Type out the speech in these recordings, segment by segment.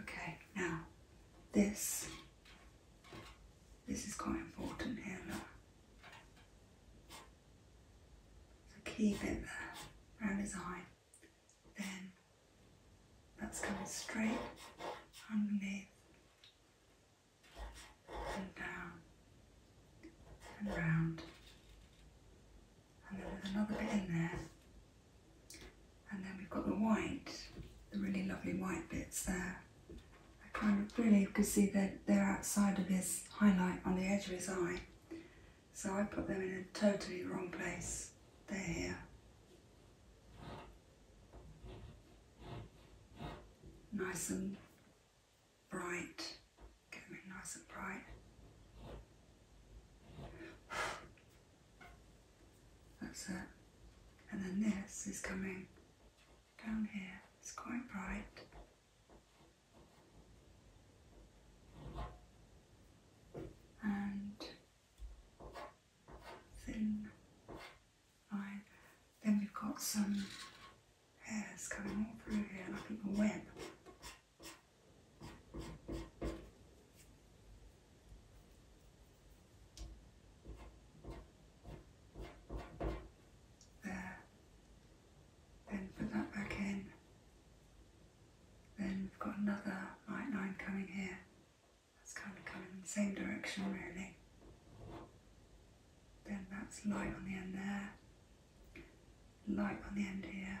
Okay, now this this is quite important here. So keep it there around his eye. Then that's coming straight underneath and down and round and then there's another bit in there. And then we've got the white, the really lovely white bits there. I kind of really you could see that they're outside of his highlight on the edge of his eye. So I put them in a totally wrong place. They're here. Nice and bright. Get them in nice and bright. That's it. And then this is coming down here. It's quite bright. And thin line. Then we've got some hairs coming all through here, like a web. There. Then put that back in. Then we've got another light line coming here. That's kind of coming in the same direction really. Then that's light on the end there, light on the end here,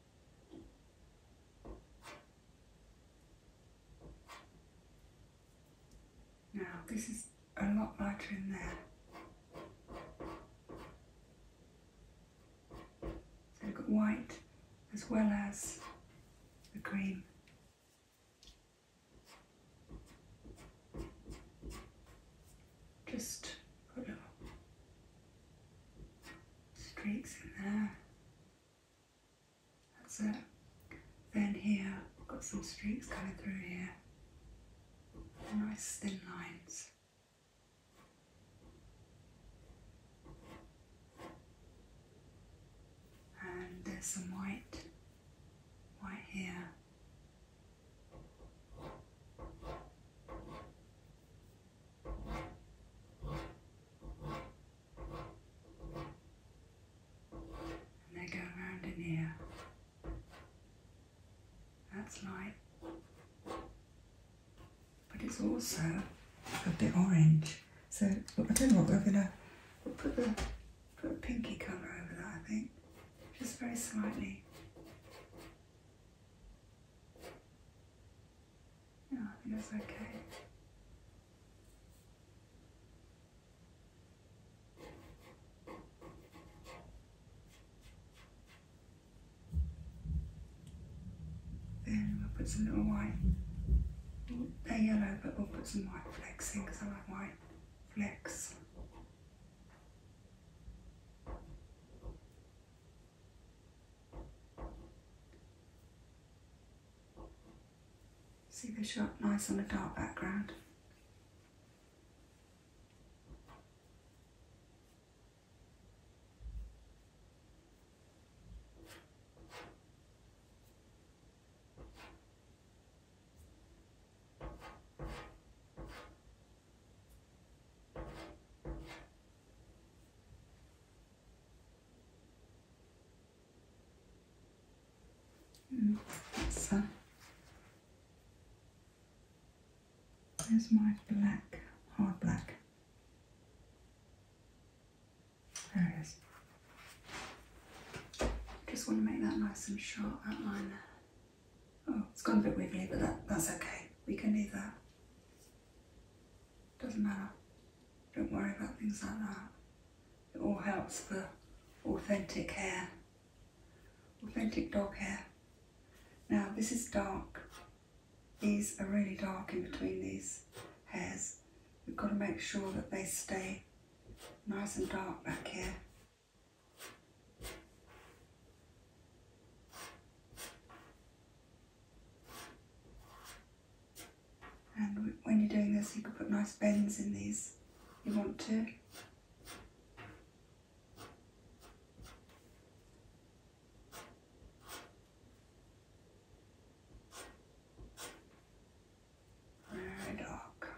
Now this is a lot lighter in there. So we've got white as well as the cream. Just put a streaks in there. That's it. Then here, got some streaks coming through here. Nice thin lines. And there's some white, white here. And they go around in here. That's light. But it's also a bit orange. So I don't know what we're gonna put the put a pinky colour over that I think. Just very slightly. Yeah, I think that's okay. Then we'll put some little white, they're yellow, but we'll put some white flecks in because I like white flex. See they shot nice on a dark background. So there's my black, hard black. There it is. Just want to make that nice and sharp outline there. Oh, it's gone a bit wiggly, but that's okay. We can leave that. Doesn't matter. Don't worry about things like that. It all helps for authentic hair. Authentic dog hair. Now this is dark. These are really dark in between these hairs. We've got to make sure that they stay nice and dark back here. And when you're doing this, you can put nice bends in these if you want to. Very dark.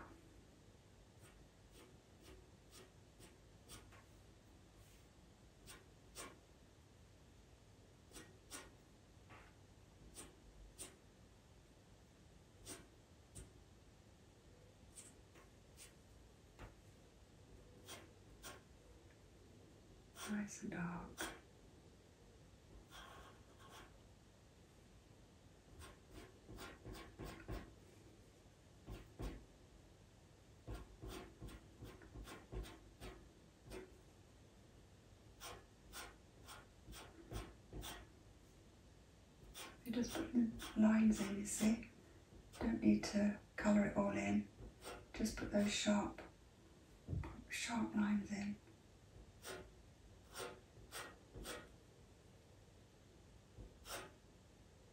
Nice and dark. You're just putting lines in, you see. Don't need to colour it all in. Just put those sharp, sharp lines in.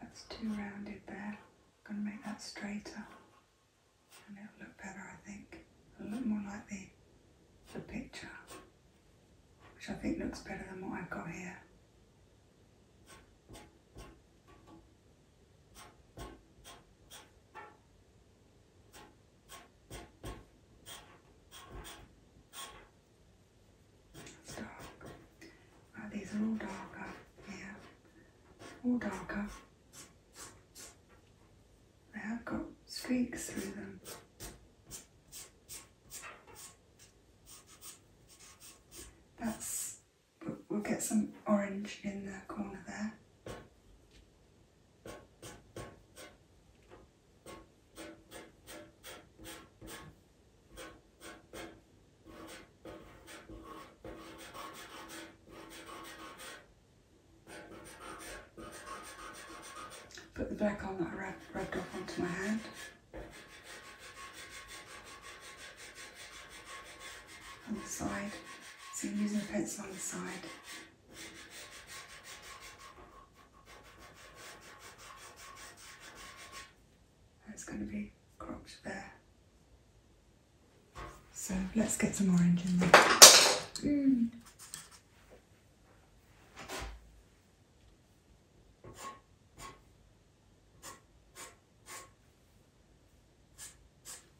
That's too rounded there. I'm going to make that straighter and it'll look better I think. A will more like the, the picture, which I think looks better than what I've got here. It's dark. these are all darker. Yeah. All darker. They have got streaks through them. That's, we'll get some orange in the corner there. Put the back on that I rubbed off onto my hand. On the side. So I'm using a pencil on the side. That's going to be cropped there. So let's get some orange in there.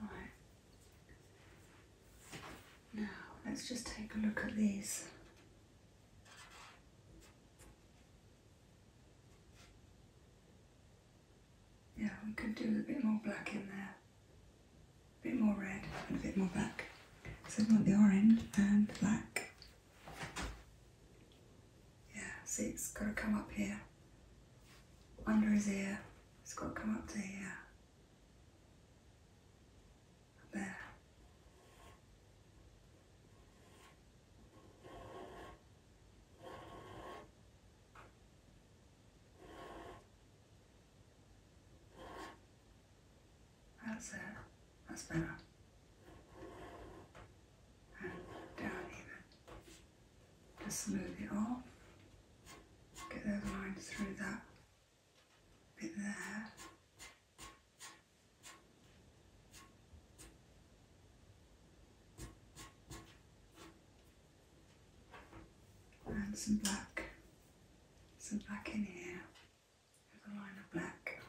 Right. Now let's just take a look at these. Yeah, we could do a bit more black in there a bit more red and a bit more black. So we want the orange and black. Yeah, So it's got to come up here. Under his ear, it's got to come up to here. there. That's it. That's better. And down even. Just smooth it off. Get those lines through that bit there. And some black, some black in here a line of black.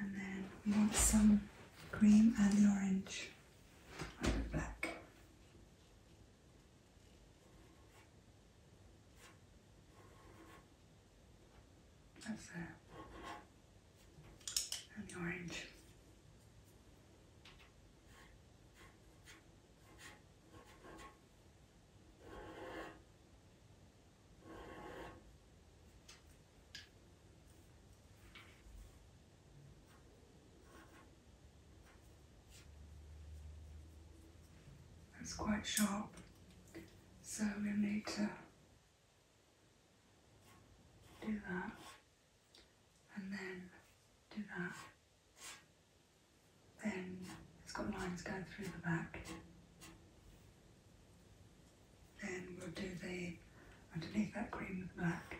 And then we want some cream and the orange over black. That's it. And the orange. That's quite sharp, so we'll need to do that, and then do that. Then it's got lines going through the back. Then we'll do the underneath that green with the black.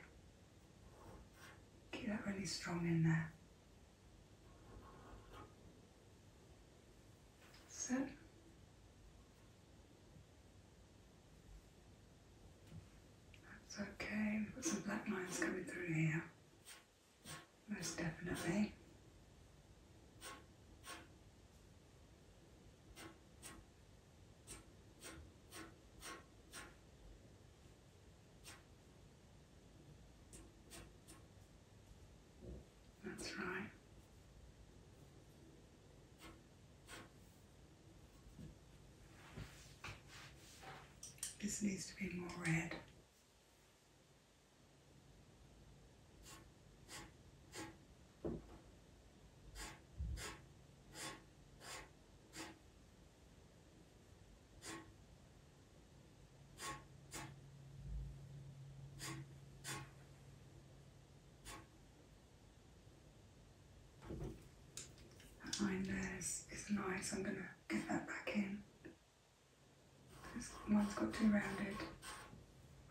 Keep that really strong in there seven, that's okay, we got some black lines coming through here, most definitely. That's right. This needs to be more red. That line there is, nice, I'm going to get that back in. This one's got too rounded.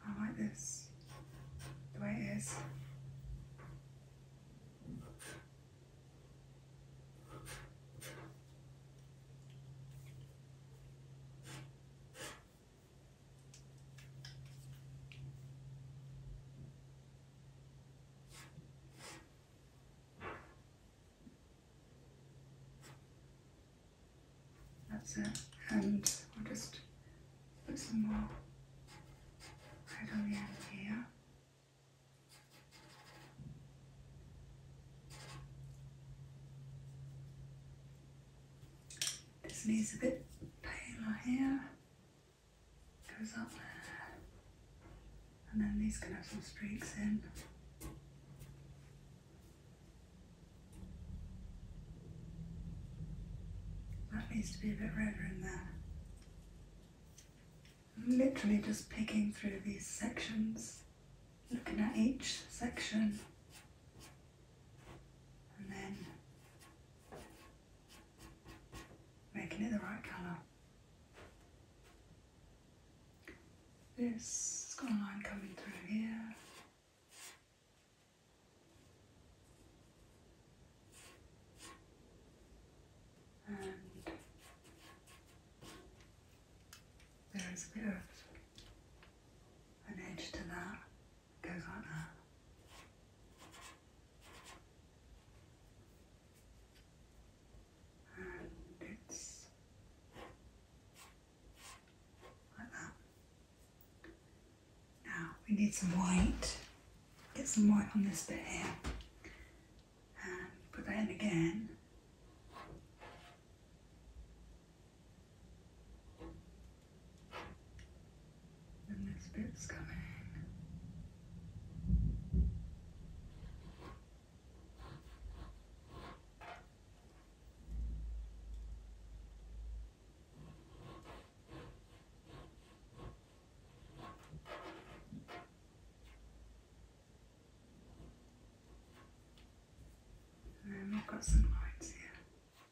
I like this, the way it is. That's it. And we'll just put some more right here. This needs a bit paler here, goes up there, and then these can have some streaks in. That needs to be a bit redder in there. I'm literally just picking through these sections, looking at each section and then making it the right colour. This has got a line coming through here. And there is a bit of an edge to that goes like that. And it's like that. Now we need some white. Get some white on this bit here. And put that in again. And this bit's coming. And we've got some lines here.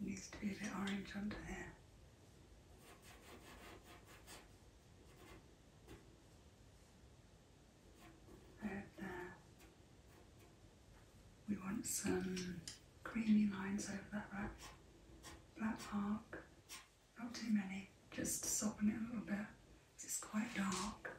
It needs to be a bit orange under there. There, there. We want some creamy lines over that black, black mark. Not too many, just soften it a little bit. It's quite dark.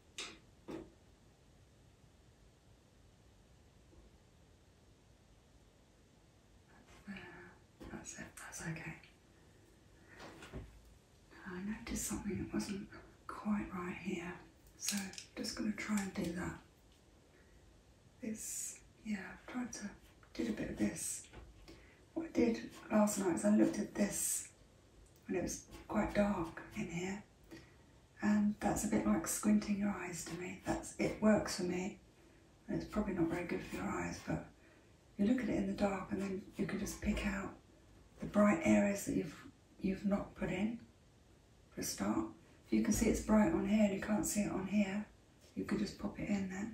That's it, that's okay. I noticed something that wasn't quite right here, so I'm just going to try and do that. It's, yeah, I've tried to, did a bit of this. What I did last night is I looked at this when it was quite dark in here and that's a bit like squinting your eyes to me. That's It works for me. it's probably not very good for your eyes, but you look at it in the dark and then you can just pick out the bright areas that you've, you've not put in, for a start. If you can see it's bright on here and you can't see it on here, you could just pop it in there.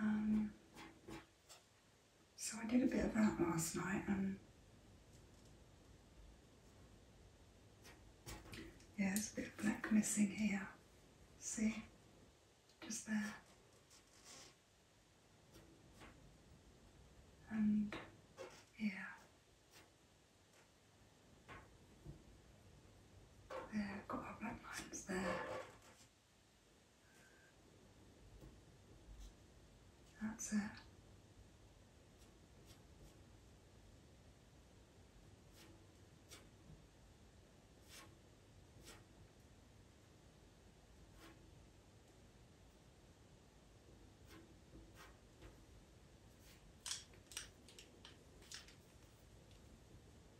Um, so I did a bit of that last night and um, yeah, there's a bit of black missing here. See? Just there. And yeah. There, got our black lines there. That's it.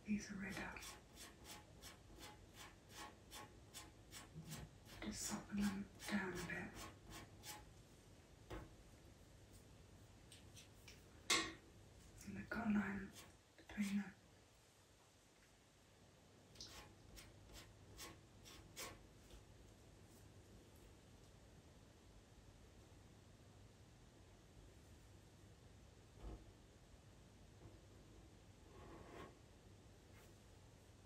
These are red just soften them down a bit. And the cut between them.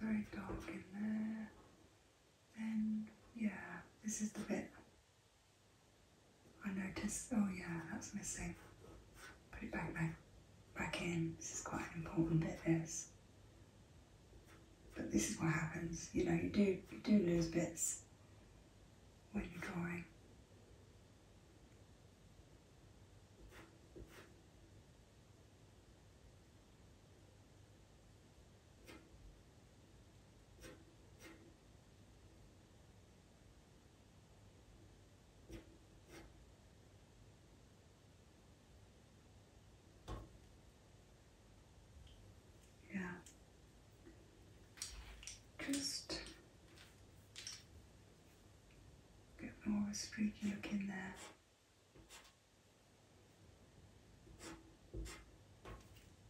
Very dark in there. Then, yeah, this is the bit I noticed. Oh, yeah, that's missing. Put it back, back, back in. This is quite an important bit, this. But this is what happens. You know, you do you do lose bits when you're drawing. Yeah. Just a more of a spooky look in there.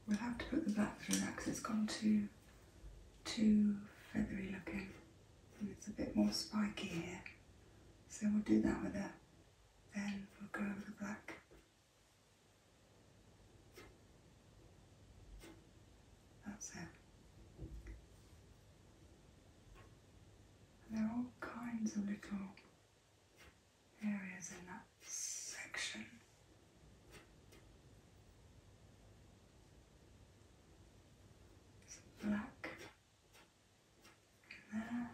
We'll have to put the black through that because it's gone too, too feathery looking. And it's a bit more spiky here. So we'll do that with that. Then we'll go over the black that's it. there are all kinds of little areas in that section. Some black in there.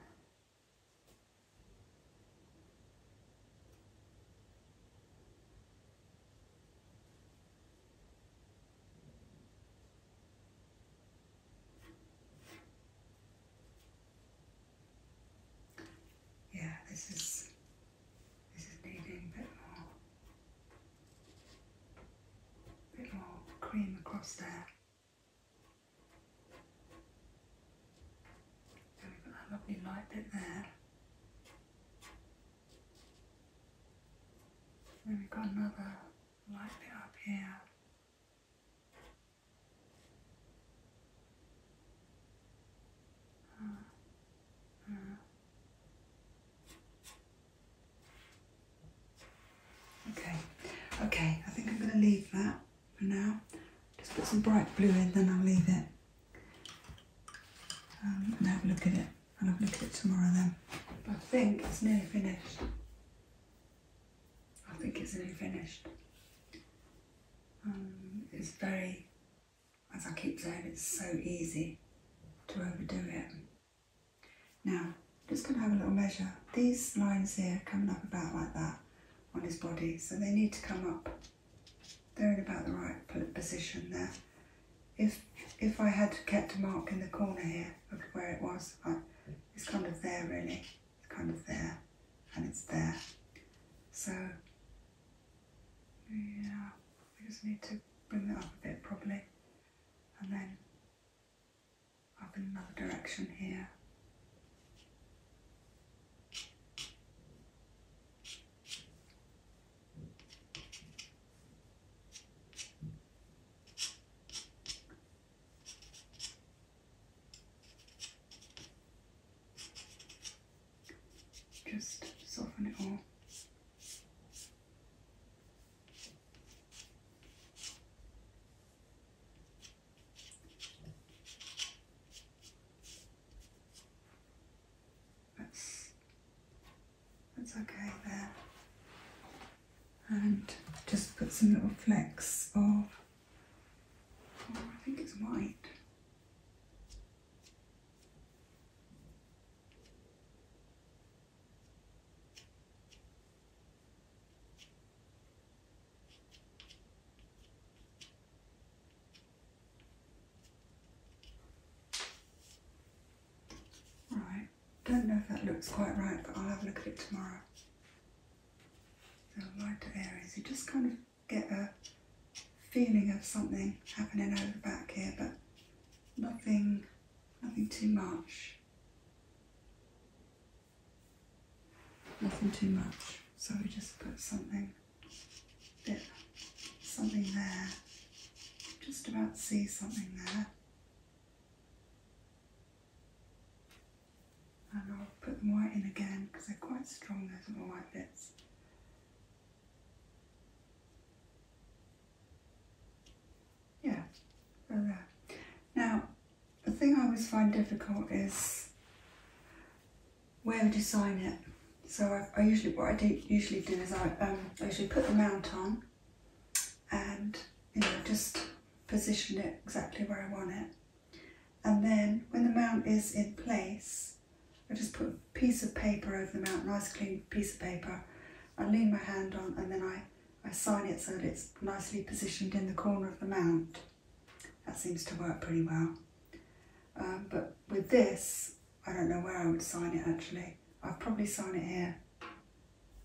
Yeah, this is this is needing a bit more bit more cream across there. That lovely light bit there. Then we've got another light bit up here. Uh, uh. Okay, okay, I think I'm going to leave that for now. Just put some bright blue in, then I'll leave it. Um, and have a look at it. I'll have a look at it tomorrow then. I think it's nearly finished. I think it's nearly finished. Um, it's very, as I keep saying, it's so easy to overdo it. Now, just going to have a little measure. These lines here coming up about like that, on his body, so they need to come up. They're in about the right position there. If if I had kept a mark in the corner here of where it was, I, it's kind of there really, it's kind of there, and it's there. So yeah, we just need to bring that up a bit properly, and then up in another direction here. Just soften it all. That's, that's okay there. And just put some little flecks of, oh, I think it's white. Right, don't know if that looks quite right, but I'll have a look at it tomorrow. So lighter areas, you just kind of get a feeling of something happening over the back here, but nothing, nothing too much. Nothing too much. So we just put something bit something there. Just about see something there. And I'll put them white in again because they're quite strong, those little white bits. Yeah, there. Now, the thing I always find difficult is where to sign it. So I, usually, what I do usually do is I, um, usually put the mount on and you know, just position it exactly where I want it. And then when the mount is in place, I just put a piece of paper over the mount, nice clean piece of paper. I lean my hand on and then I, I sign it so that it's nicely positioned in the corner of the mount. That seems to work pretty well. Um, but with this, I don't know where I would sign it actually. I'd probably sign it here.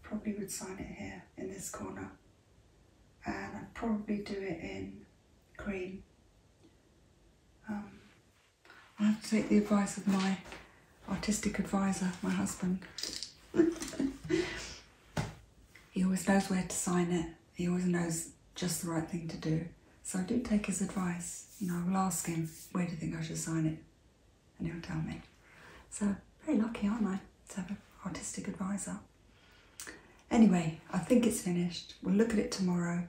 Probably would sign it here in this corner. And I'd probably do it in green. Um, I have to take the advice of my artistic advisor, my husband. he always knows where to sign it. He always knows just the right thing to do. So I do take his advice. and I will ask him, where do you think I should sign it? And he'll tell me. So very lucky, aren't I, to have an artistic advisor. Anyway, I think it's finished. We'll look at it tomorrow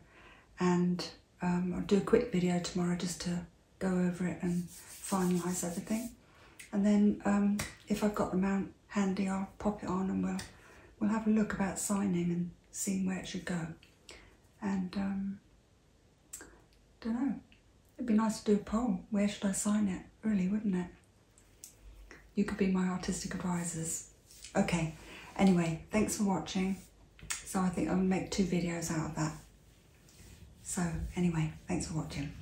and um, I'll do a quick video tomorrow just to go over it and finalise everything. And then um, if I've got the mount handy, I'll pop it on and we'll we'll have a look about signing and seeing where it should go. And um, don't know. It'd be nice to do a poll. Where should I sign it? Really, wouldn't it? You could be my artistic advisors. Okay. Anyway, thanks for watching. So I think I'll make two videos out of that. So anyway, thanks for watching.